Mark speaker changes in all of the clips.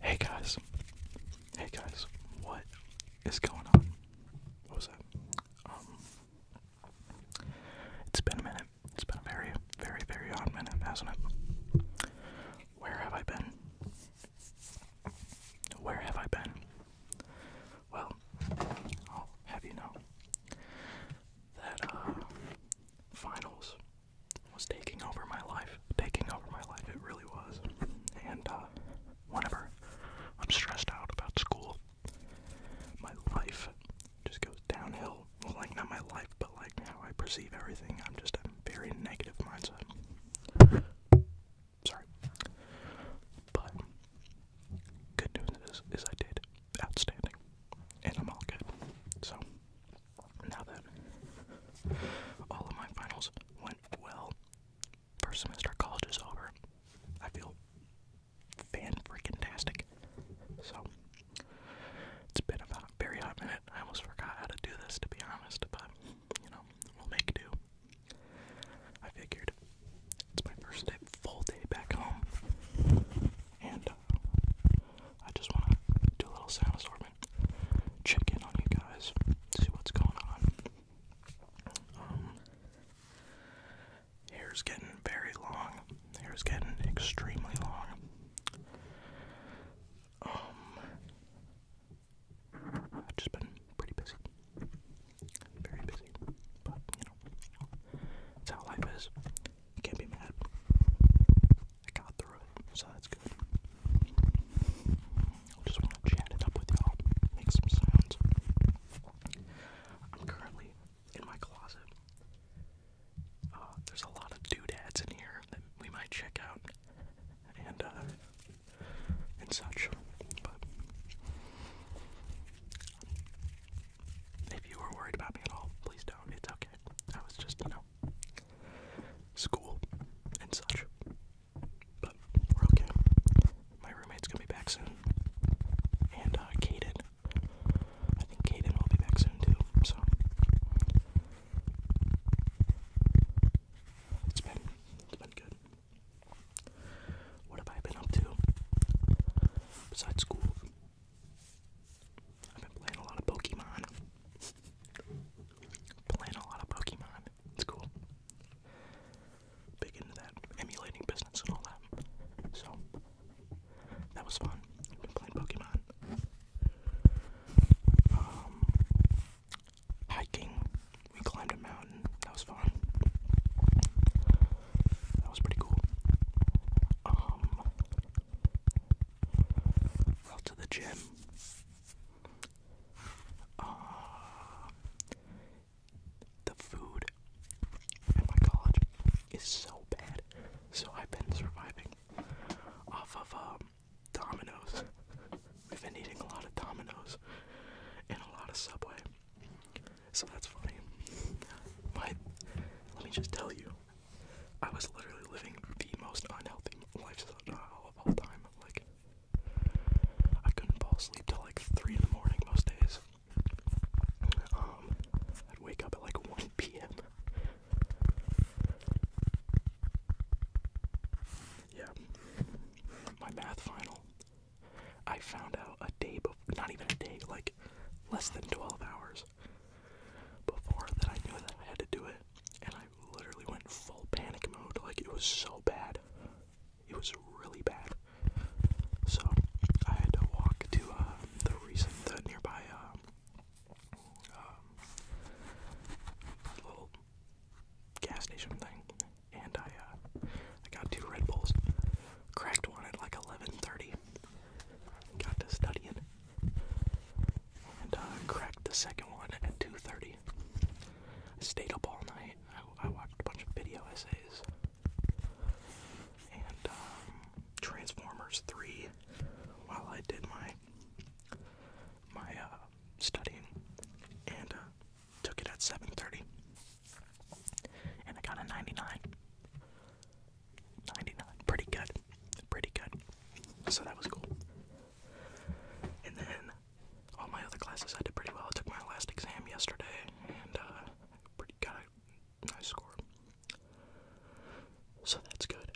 Speaker 1: Hey guys. Hey guys. What is going on? What was that? Um, it's been a minute. It's been a very, very, very odd minute, hasn't it? Where have I been? Where have I been? Well, I'll have you know that uh, finals was taking over my life, taking over my life, it really was. And uh, whenever I'm stressed out about school, my life just goes downhill. Well, like, not my life, but like how I perceive everything. I'm just a very negative mindset. Sorry. But good news is, is I did outstanding, and I'm all good. So now that all of my finals went well, first semester college is over, I feel fan freaking tastic. So it's been about a very hot minute. I almost forgot how to do this to be honest, but you know, we'll make do. I figured it's my first full day back home, and uh, I just want to do a little sound assortment, check in on you guys, see what's going on. Um, hair's getting very long. Hair's getting extremely long. Um, I've just been pretty busy, very busy. But you know, it's how life is. You can't be mad. I got through it, so that's good. I just want to chat it up with y'all, make some sounds. I'm currently in my closet. Uh, there's a lot of doodads in here that we might check out and uh, and such. But if you were worried about me at all, please don't. It's okay. was just, you know, school and such. But we're okay. My roommate's gonna be back soon. And, uh, Kaden. I think Kaden will be back soon too, so. It's been, it's been good. What have I been up to? Besides school, I've been playing a lot of Pokemon. playing a lot of Pokemon. It's cool. Big into that emulating business and all that. So that was fun. been playing Pokemon. Um, hiking. We climbed a mountain. That was fun. That was pretty cool. Um, well, to the gym. Uh, the food at my college is so bad, so I've been surviving off of um, Domino's. We've been eating a lot of Domino's and a lot of Subway, so that's funny. My, let me just tell you, I was literally living the most unhealthy lifestyle of all time. Like, I couldn't fall asleep till like 3 in the morning most days. Um, I'd wake up at like 1 p.m. Yeah. My math final, I found out a day before, not even a day, like less than 12 hours before that I knew that I had to do it, and I literally went full panic mode. Like, it was so bad. It was really bad. So, I had to walk to uh, the recent, the nearby uh, um, little gas station thing, and I, uh, I got two Red Bulls, cracked one at like 11:30, got to study it and uh, cracked the second one at 2.30. stayed up all night. I, watched a bunch of video essays. And um, Transformers 3 while I did my, my uh, studying. And uh, took it at 7.30. And I got a 99. 99. Pretty good. Pretty good. So that was cool. And then all my other classes I did pretty well. I took my last exam yesterday and uh, pretty got a nice score. So that's good.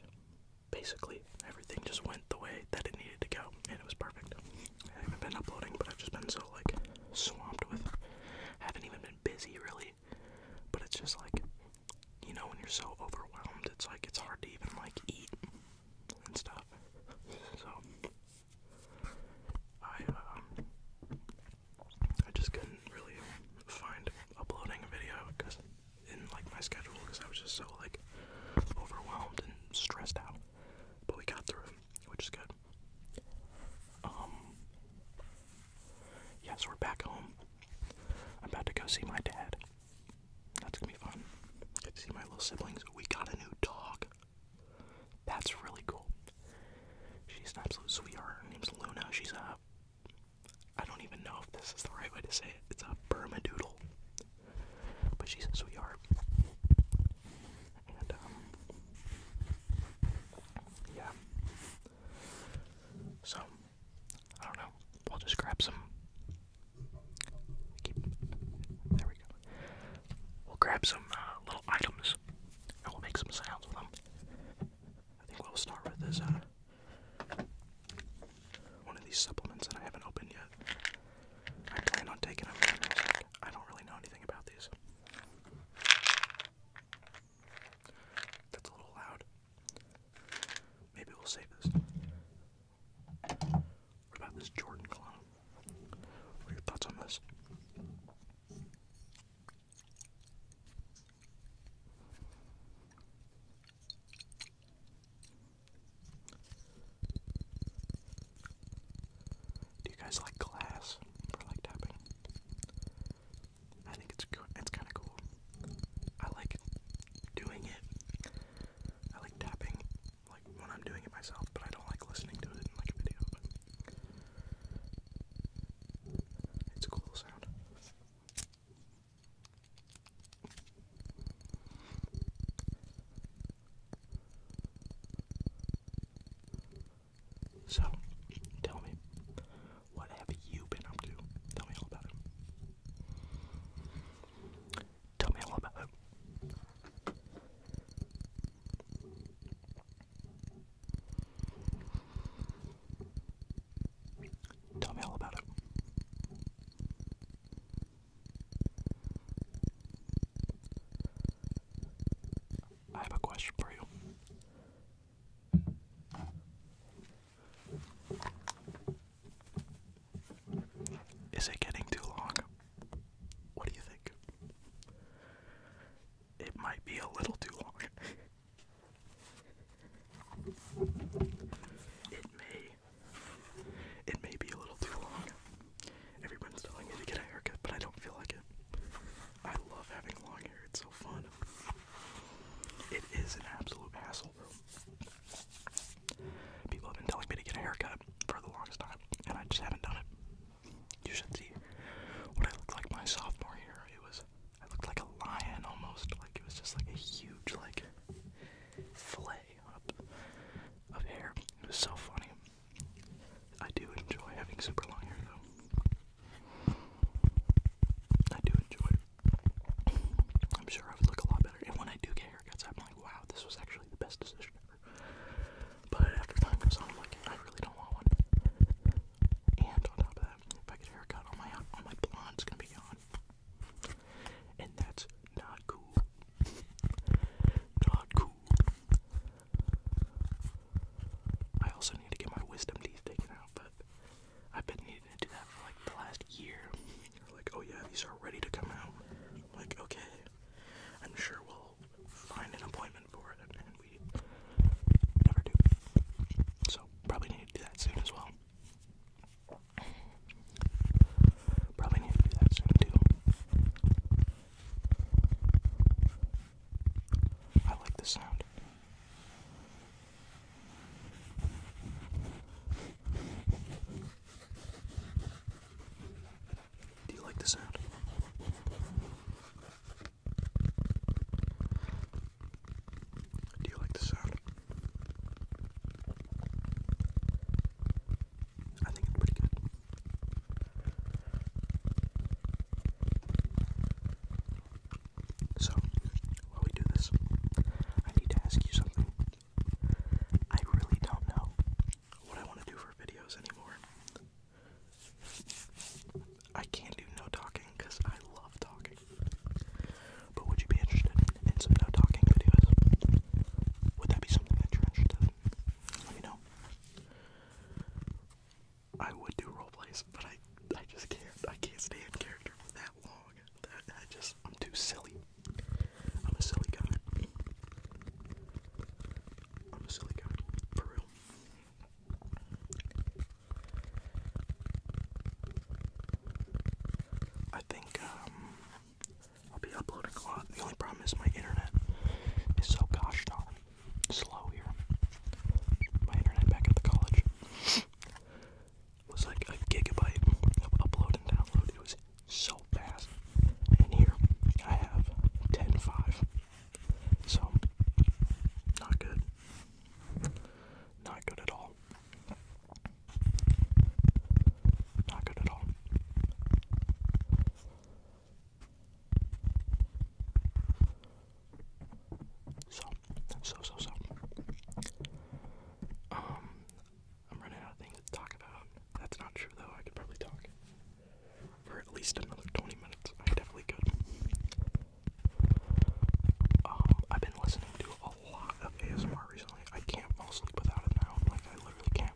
Speaker 1: Basically, everything just went the way that it needed to go, and it was perfect. I haven't been uploading, but I've just been so like swamped with. I haven't even been busy really but it's just like, you know, when you're so overwhelmed, it's like it's hard to even like eat and stuff. So I um, I just couldn't really find uploading a video because in like my schedule because I was just so like overwhelmed and stressed out. But we got through which is good. Um, Yes, we're back home. I'm about to go see my dad. That's gonna be fun. Get to see my little siblings. We got a new dog. That's really cool. She's an absolute sweetheart. Her name's Luna. She's a. I don't even know if this is the right way to say it. It's a Bermadoodle. But she's a sweetheart. And, um. Yeah. So, I don't know. We'll just grab some. there we go. We'll grab some uh, little items and we'll make some sounds with them. I think we'll start with is uh, one of these supplements that I haven't opened yet. I plan on taking them. I don't really know anything about these. That's a little loud. Maybe we'll save this. What about this Jordan clone? What are your thoughts on this? Do you guys like glass for like tapping? I think it's it's kind of cool. I like doing it. I like tapping, like when I'm doing it myself, but I don't like listening to it in like a video. it's a cool sound. So, tell me, what have you been up to? Tell me all about it. Tell me all about it. Tell me all about it. I have a question for you. Is it getting too long? What do you think? It might be a little too long. it may. It may be a little too long. Everyone's telling me to get a haircut, but I don't feel like it. I love having long hair, it's so fun. It is an absolute hassle. People have been telling me to get a haircut for the longest time, and I just haven't done it. You should see what I looked like my sophomore year. It was I looked like a lion almost, like it was just like a huge like fillet of hair. It was so funny. I do enjoy having super long hair though. I do enjoy I'm sure I would look a lot better. And when I do get haircuts, I'm like, wow, this was actually the best decision ever. But after time goes on, I'm like, I really don't want one. And on top of that, if I get a haircut on my on my blonde's gonna be gone. And that's not cool. Not cool. I also need to get my wisdom teeth taken out, but I've been needing to do that for like the last year. Like, oh yeah, these are ready to come out. like, okay, I'm sure we'll find an appointment for it, and we never do. So probably need to do that soon as well. Probably need to do that soon too. I like this sound. Do you like the sound? Do you like the sound? I think it's pretty good. So, while we do this, I need to ask you something. I really don't know what I want to do for videos anymore. I can't do no talking because I love talking. But would you be interested in some no talking videos? Would that be something that you're interested in? Let me know. I would do role plays, but I I just can't. I can't stay in character for that long. That, that just I'm too silly. I'm a silly guy. I'm a silly guy. For real. I think um I'll be uploading a lot. The only problem is my internet is so gosh darn slow here. My internet back at the college was like a gigabyte of upload It was so fast. And here I have 10.5. So, not good. Not good at all. Not good at all. So, so, so, so. Um, I'm running out of things to talk about. That's not true, though. I could probably talk for at least another 20 minutes. I definitely could. Um, I've been listening to a lot of ASMR recently. I can't fall asleep without it now. Like, I literally can't.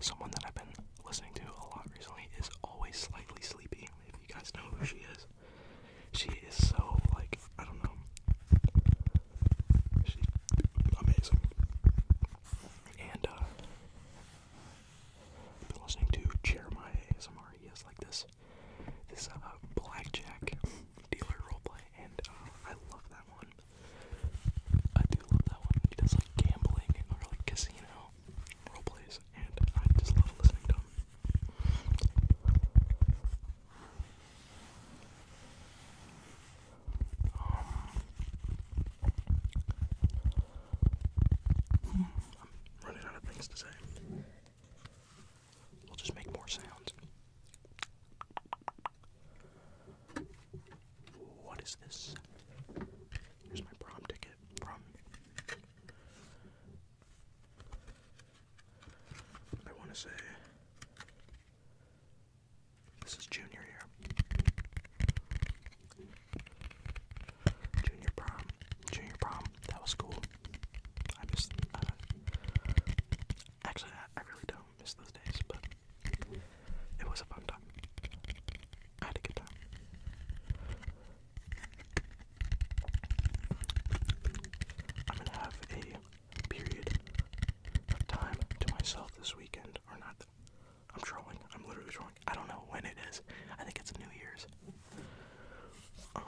Speaker 1: Someone that I've been listening to a lot recently is always slightly sleepy. If you guys know who she is, she is so like I don't know. She's amazing. And uh I've been listening to Jeremiah ASMR. He has like this this uh blackjack dealer role play, and uh I love that one. I do love that one. He does like gambling or like casino role plays, and I just love listening to them. Um, hmm, I'm running out of things to say. We'll just make more sounds. What is this? Here's my prom ticket from I want to say this is junior year. Junior prom. Junior prom. That was cool. I miss. Uh, actually, I really don't miss those days, but it was a fun time. I had a good time. I'm gonna have a period of time to myself this weekend, or not. I'm trolling. I'm literally trolling. I don't know when it is. I think it's New Year's. Um,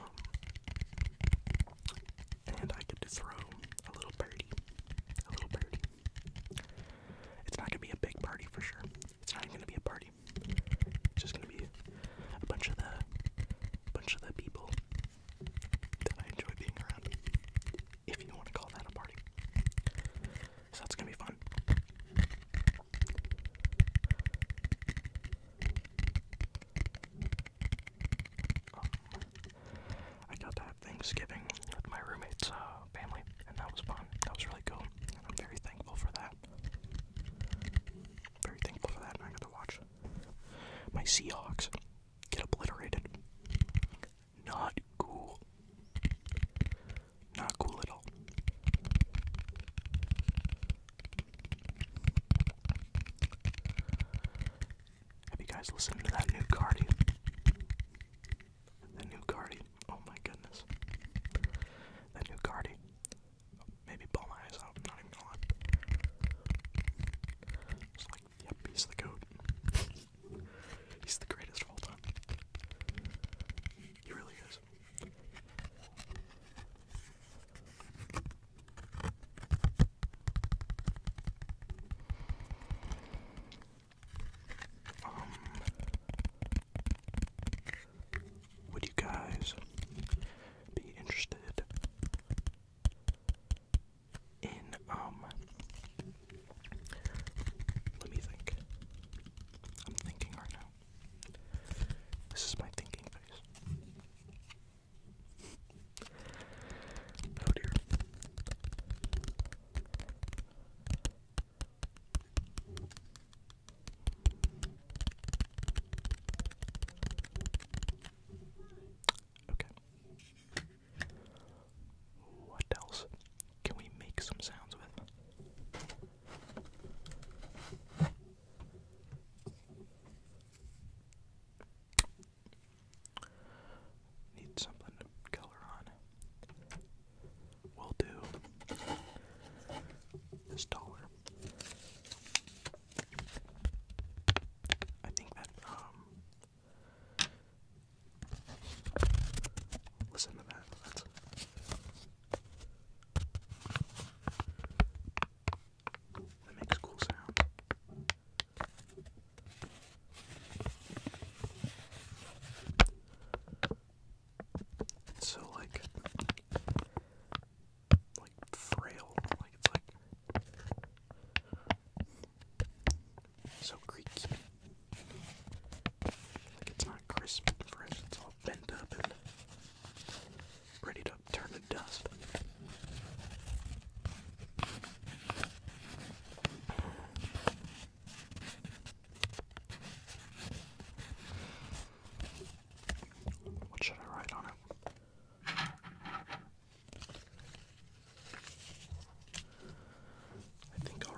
Speaker 1: and I get to throw a little party. A little party. It's not gonna be a big party for sure. It's not gonna be a party just gonna be a bunch of the bunch of the people that I enjoy being around. If you want to call that a party. So that's gonna be fun. Um, I got to Thanksgiving with my roommate's uh, family, and that was fun. That was really cool, and I'm very thankful for that. Very thankful for that, and I got to watch my Seahawks get obliterated. Not cool. Not cool at all. Have you guys listened to that new Cardi? The new Cardi. Oh my goodness. The new Cardi maybe ball my eyes out. not even gonna like, yep, he's the goat. he's the greatest of all time. He really is. Um, would you guys be interested in, um, let me think. I'm thinking right now. This is my thinking face. Oh dear. Okay. What else can we make some sounds with? Need something to color on. We'll do this dollar. I think that um, listen to that. That's that makes cool sound. So like like frail. Like it's like so creaky. Like it's not crisp and fresh. It's all bent up and ready to turn to dust. What should I write on it? I think i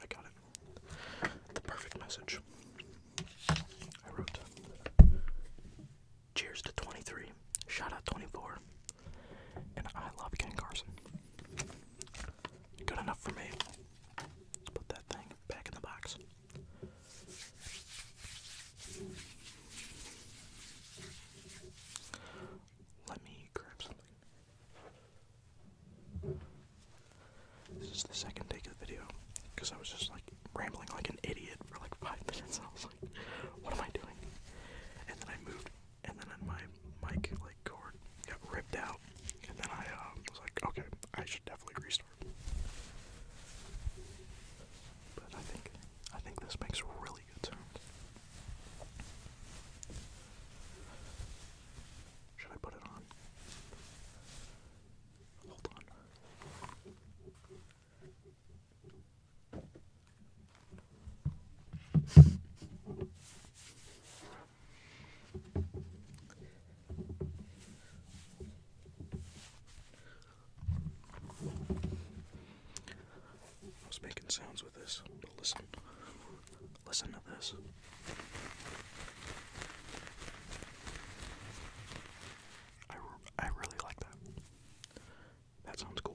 Speaker 1: I got it. The perfect message. I wrote Cheers to 23. Shout out 24. And I love Ken Carson. Good enough for me. Let's put that thing back in the box. Let me grab something. This is the second take of the video because I was just like rambling like an idiot for like five minutes and I was like, what am I doing? And then I moved and then my mic like cord got ripped out and then I um, was like, okay, I should definitely restart. But I think I think this makes really good sound. Should I put it on? Hold on. I was making sounds with this, listen. Listen to this. I, I really like that. That sounds cool.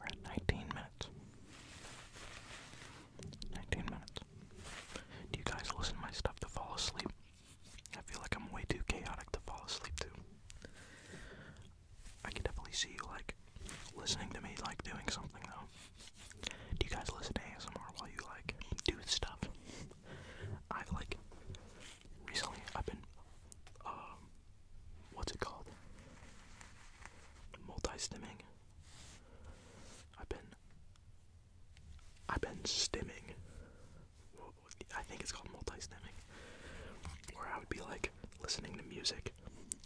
Speaker 1: We're at nineteen minutes. Nineteen minutes. Do you guys listen to my stuff to fall asleep? I feel like I'm way too chaotic to fall asleep to. I can definitely see you like listening to me like doing something though. Do you guys listen to ASMR while you like do stuff? I've like recently I've been um what's it called? Multi-stimming. I've been I've been stimming. I think it's called multi-stimming. Where I would be like listening to music,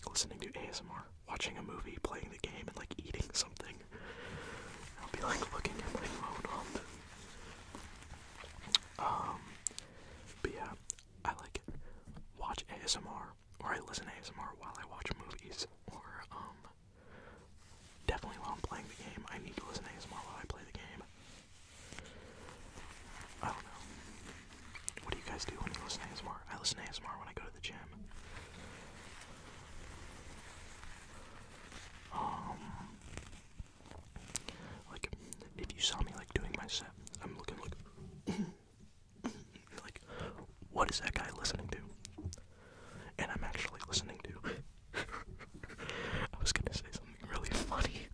Speaker 1: listening to ASMR, watching a movie, playing the game, and like eating something. I'll be like looking at my phone um, but yeah, I like watch ASMR or I listen to ASMR while I watch movies or um definitely while I'm playing the game. I need to listen to ASMR while I play the game. I don't know. What do you guys do when you listen to ASMR? I listen to ASMR when I go to the gym. Um, like if you saw me like doing my set, I'm looking like, like, what is that guy listening to? And I'm actually listening to. I was gonna say something really funny.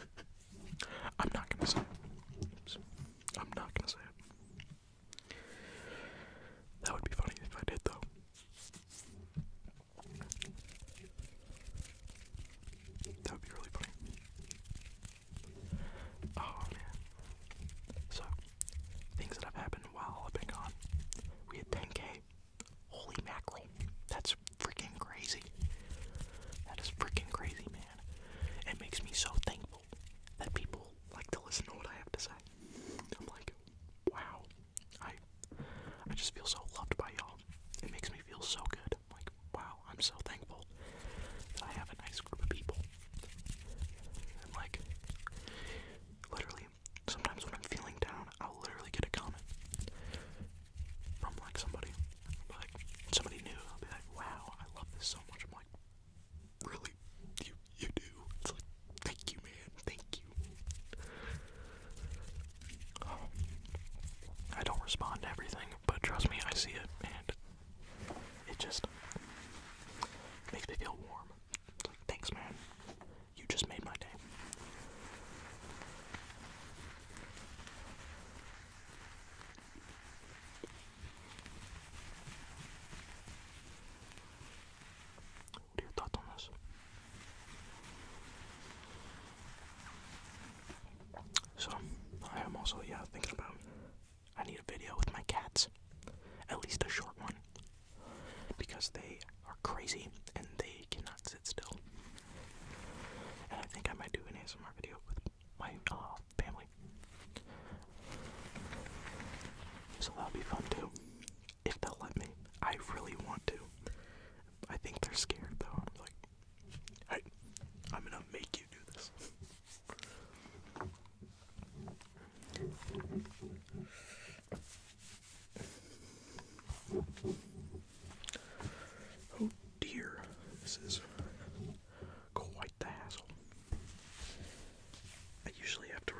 Speaker 1: I'm not gonna say. Oops. I'm not gonna say it. That would be funny if I did, though. That would be really funny. Oh man. So, things that have happened while I've been gone. We had 10k. Holy mackerel. That's freaking crazy. That is freaking crazy, man. It makes me so thankful that people like to listen to what I have to say. I'm like, wow, I I just feel so loved by y'all. It makes me feel so good. like, wow, I'm so thankful that I have a nice group of people. And like, literally, sometimes when I'm feeling down, I'll literally get a comment from like somebody, like somebody new. I'll like, wow, I love this so much. I'm like, Really, you you do. It's like, thank you, man. Thank you. Um, I don't respond to everything, but trust me, I see it, and it just makes me feel warm. thanks, man. You just made my day. What are your thoughts on this? So, I am also, yeah, thinking about I need a video with my cats. At least a short one. Because they are crazy and they cannot sit still. And I think I might do an ASMR video with my uh, family. So that'll be fun too. If they'll let me. I really want to. I think they're scared though. I'm like, hey, I'm gonna make you do this. Oh dear, this is quite the hassle. I usually have to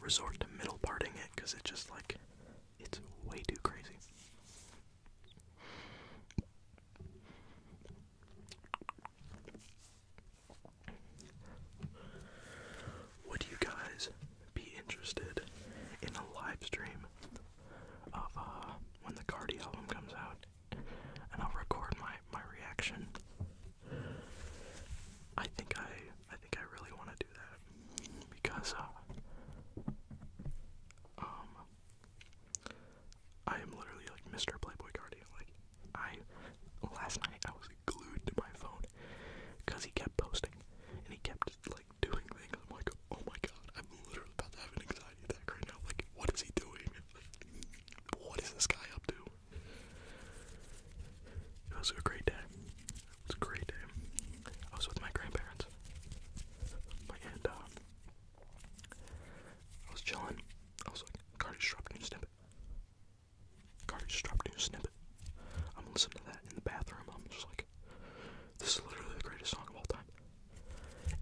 Speaker 1: resort to middle parting it because it's just like, it's way too crazy. Would you guys be interested in a live stream of uh, when the Cardi album comes out? and I'll record my my reaction. I think I I think I really want to do that because uh, um I am literally like Mr. Playboy Guardian. Like I last night I was glued to my phone because he kept posting and he kept like doing things. I'm like, oh my god, I'm literally about to have an anxiety attack right now. Like, what is he doing? What is this guy up to? It was a great day. It was a great day. I was with my grandparents. My aunt, uh, I was chilling. I was like, Cardi just dropped a new snippet. Cardi just dropped a new snippet. I'm listening to that in the bathroom. I'm just like, this is literally the greatest song of all time.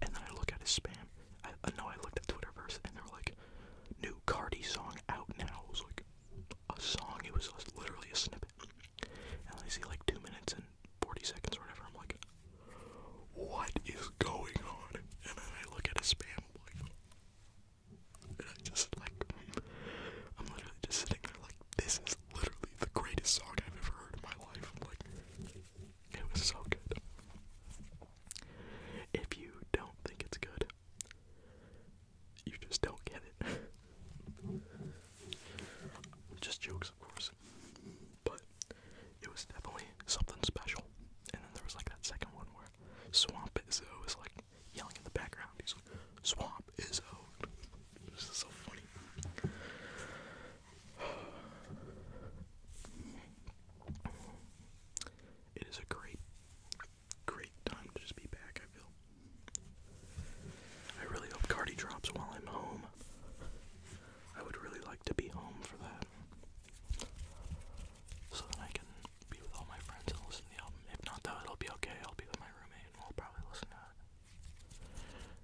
Speaker 1: And then I look at his spam. I, know I looked at Twitterverse and they were like, new Cardi song out now. It was like a song, it was literally a snippet. And I see like 2 minutes and 40 seconds or whatever. I'm like, what is going on? And then I look at his spam. Like, and I just like, I'm literally just sitting there like, this is literally the greatest song I've ever heard in my life. like, it was so good. If you don't think it's good, you just don't get it. just jokes, of course. But it was definitely something special. And then there was like that second one where Swamp Izzo is like yelling in the background. He's like, Swamp Izzo. This is so funny. It is a great, great time to just be back, I feel. I really hope Cardi drops while I'm home. I would really like to be home for that. So that I can be with all my friends and listen to the album. If not, though, it'll be okay. I'll be with my roommate and we'll probably listen to it.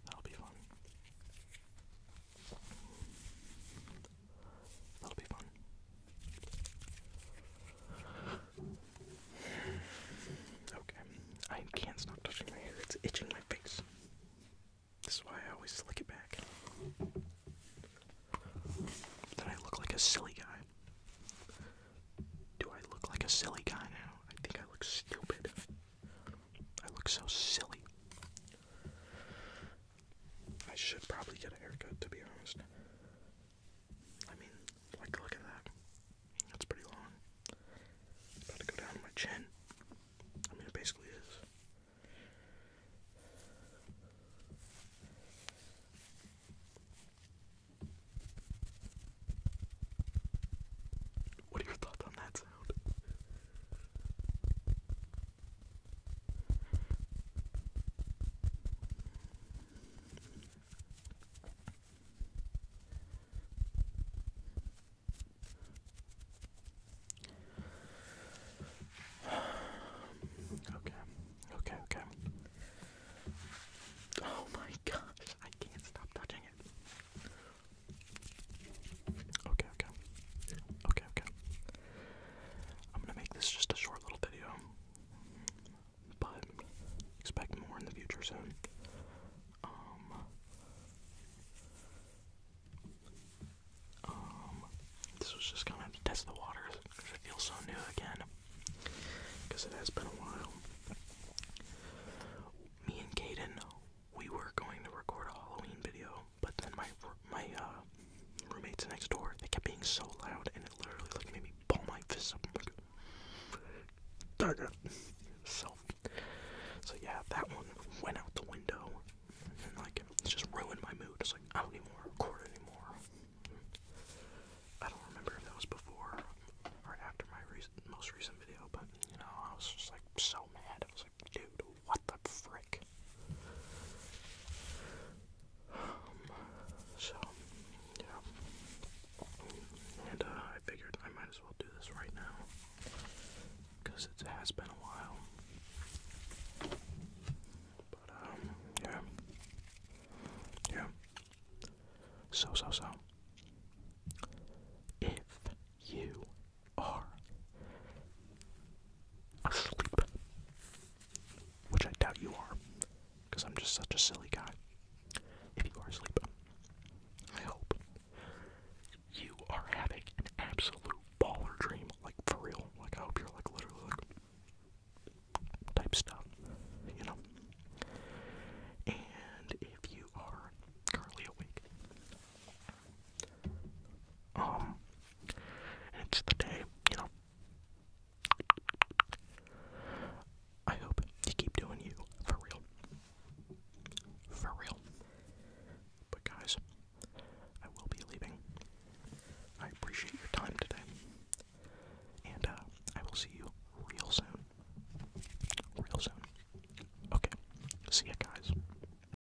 Speaker 1: That'll be fun. That'll be fun. Okay. I can't stop touching my hair. It's itching my face. This is why I always slick it back. Then I look like a silly guy. Do I look like a silly guy now? I think I look stupid. I look so silly. I should probably get a haircut, to be honest. I mean, like, look at that. That's pretty long. about to go down my chin. I mean, it basically is. What are your thoughts on that sound? Okay, okay, okay. Oh my gosh, I can't stop touching it. Okay, okay. Okay, okay. I'm gonna make this just a short little video, but expect more in the future soon. Um, um this was just kind of to test the waters it feels so new again, because it has been a while. Me and Caden, we were going to record a Halloween video, but then my my uh, roommates next door they kept being so loud, and it literally like made me ball my fist up. Like, Darn it! So, so yeah, that one went out the window, and like it just ruined my mood. It's like I don't even want to record anymore. I don't remember if that was before or after my recent, most recent video, but you know, I was just like so mad. I was dude, what the frick? Um, so, yeah. And, uh, I figured I might as well do this right now. Because it has been a while. But, um, yeah. Yeah. So, so, so. If you are asleep. Which I doubt you are, because I'm just such a silly guy. If you are asleep, I hope you are having an absolute baller dream, like for real. Like I hope you're like literally like type stuff, you know. And if you are currently awake, um, it's the day, you know. I hope you keep doing you, for real. For real. But guys, I will be leaving. I appreciate your time today. And uh, I will see you real soon. Real soon. Okay. See ya, guys.